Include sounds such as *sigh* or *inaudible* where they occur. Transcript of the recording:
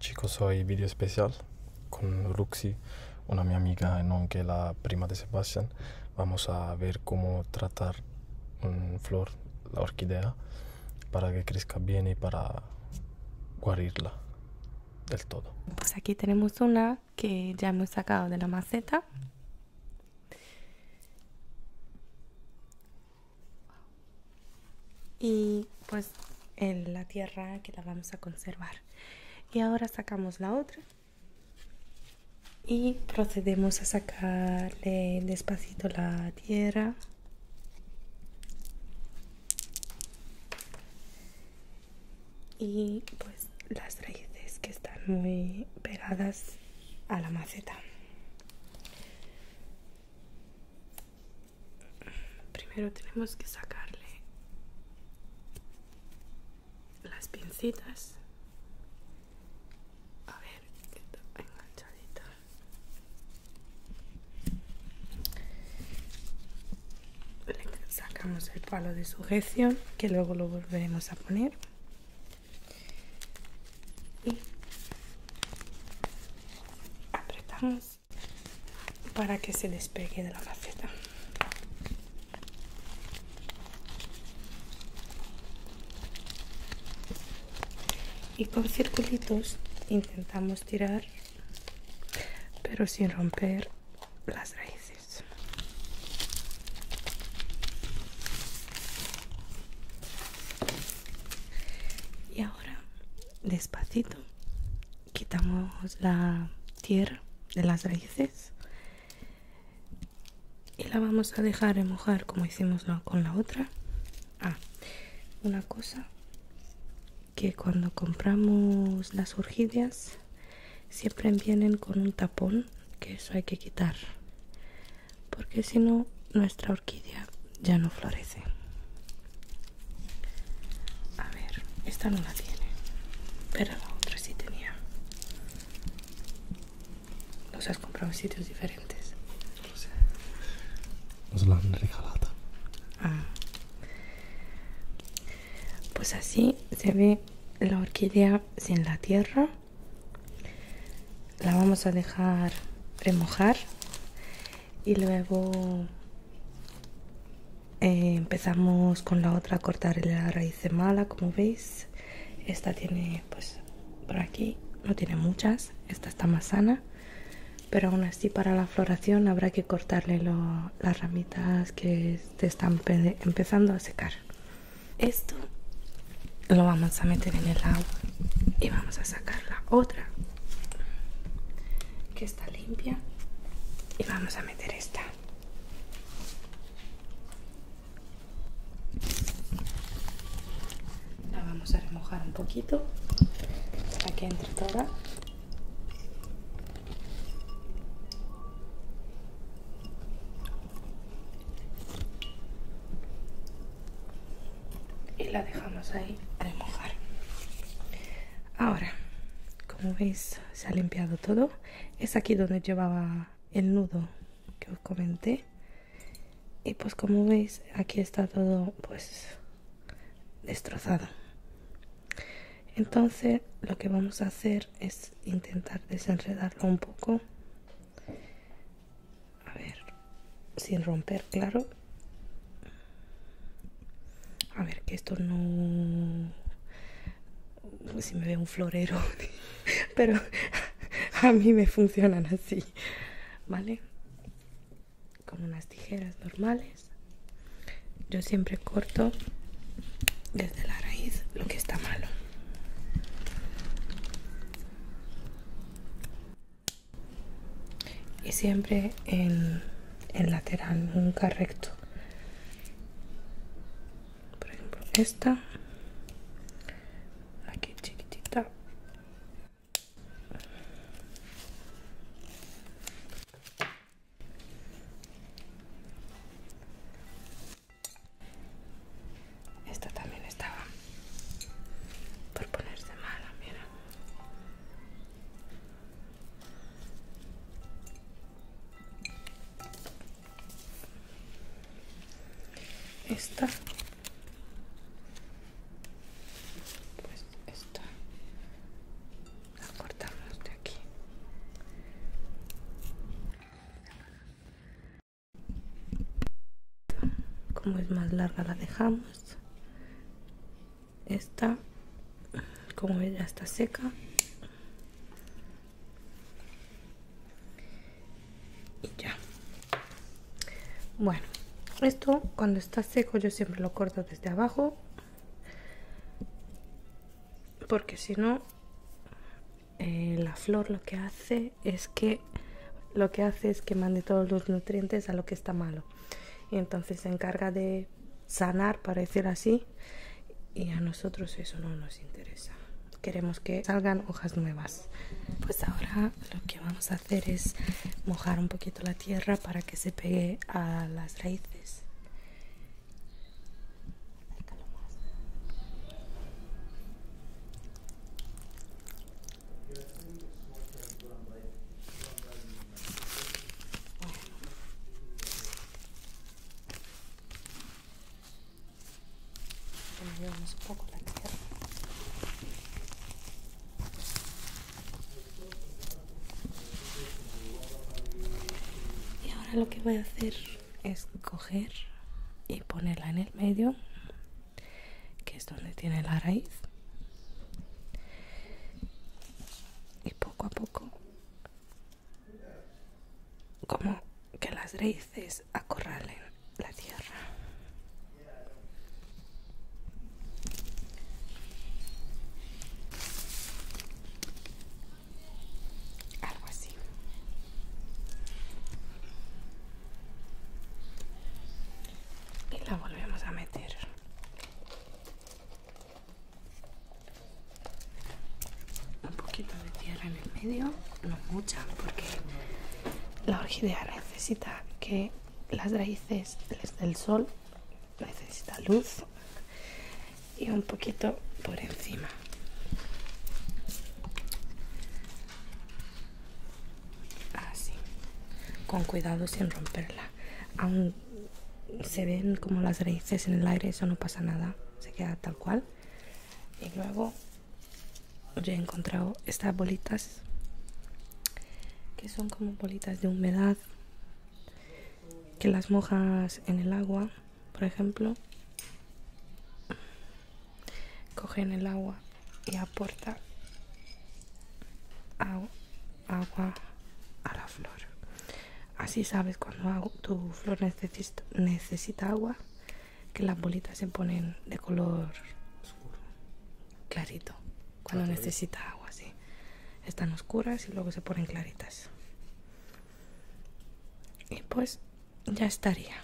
Chicos, hoy video especial con Roxy, una mi amiga, no que la prima de Sebastián. Vamos a ver cómo tratar una flor, la orquídea, para que crezca bien y para guarirla del todo. Pues aquí tenemos una que ya hemos sacado de la maceta y pues en la tierra que la vamos a conservar y ahora sacamos la otra y procedemos a sacarle despacito la tierra y pues las raíces que están muy pegadas a la maceta primero tenemos que sacarle las pincitas a ver que está enganchadito, sacamos el palo de sujeción que luego lo volveremos a poner y apretamos para que se despegue de la faceta. Y con circulitos intentamos tirar, pero sin romper las raíces. Y ahora despacito quitamos la tierra de las raíces y la vamos a dejar mojar como hicimos con la otra ah, una cosa que cuando compramos las orquídeas siempre vienen con un tapón que eso hay que quitar porque si no nuestra orquídea ya no florece a ver, esta no la tiene, pero la otra sí tenía. ¿Los has comprado en sitios diferentes? No sé. Nos la han regalado. Ah. Pues así se ve la orquídea sin la tierra. La vamos a dejar remojar y luego eh, empezamos con la otra a cortar la raíz de mala como veis esta tiene pues por aquí no tiene muchas esta está más sana pero aún así para la floración habrá que cortarle las ramitas que te están empezando a secar esto lo vamos a meter en el agua y vamos a sacar la otra que está limpia y vamos a meter esta la vamos a remojar un poquito para que entre toda y la dejamos ahí remojar ahora como veis se ha limpiado todo es aquí donde llevaba el nudo que os comenté y pues como veis aquí está todo pues destrozado entonces lo que vamos a hacer es intentar desenredarlo un poco a ver sin romper claro a ver que esto no si me ve un florero *laughs* pero *laughs* a mí me funcionan así vale con unas tijeras normales yo siempre corto desde la raíz lo que está malo y siempre en, el lateral nunca recto por ejemplo esta aquí chiquitita esta también estaba por ponerse mala, mira. Esta. Pues esta. La cortamos de aquí. Como es más larga la dejamos esta como ella está seca y ya bueno esto cuando está seco yo siempre lo corto desde abajo porque si no eh, la flor lo que hace es que lo que hace es que mande todos los nutrientes a lo que está malo y entonces se encarga de sanar, para decir así, y a nosotros eso no nos interesa. Queremos que salgan hojas nuevas. Pues ahora lo que vamos a hacer es mojar un poquito la tierra para que se pegue a las raíces. Y ahora lo que voy a hacer es coger y ponerla en el medio que es donde tiene la raíz y poco a poco como que las raíces acorralen la tierra algo así y la volvemos a meter un poquito de tierra en el medio no mucha porque la orquídea necesita que las raíces les dé el sol necesita luz y un poquito por encima así ah, con cuidado sin romperla aún se ven como las raíces en el aire eso no pasa nada se queda tal cual y luego yo he encontrado estas bolitas que son como bolitas de humedad que las mojas en el agua por ejemplo cogen el agua y aporta agua a la flor. Así sabes cuando tu flor necesita agua que las bolitas se ponen de color oscuro, clarito. Cuando necesita agua, sí. Están oscuras y luego se ponen claritas. Y pues ya estaría.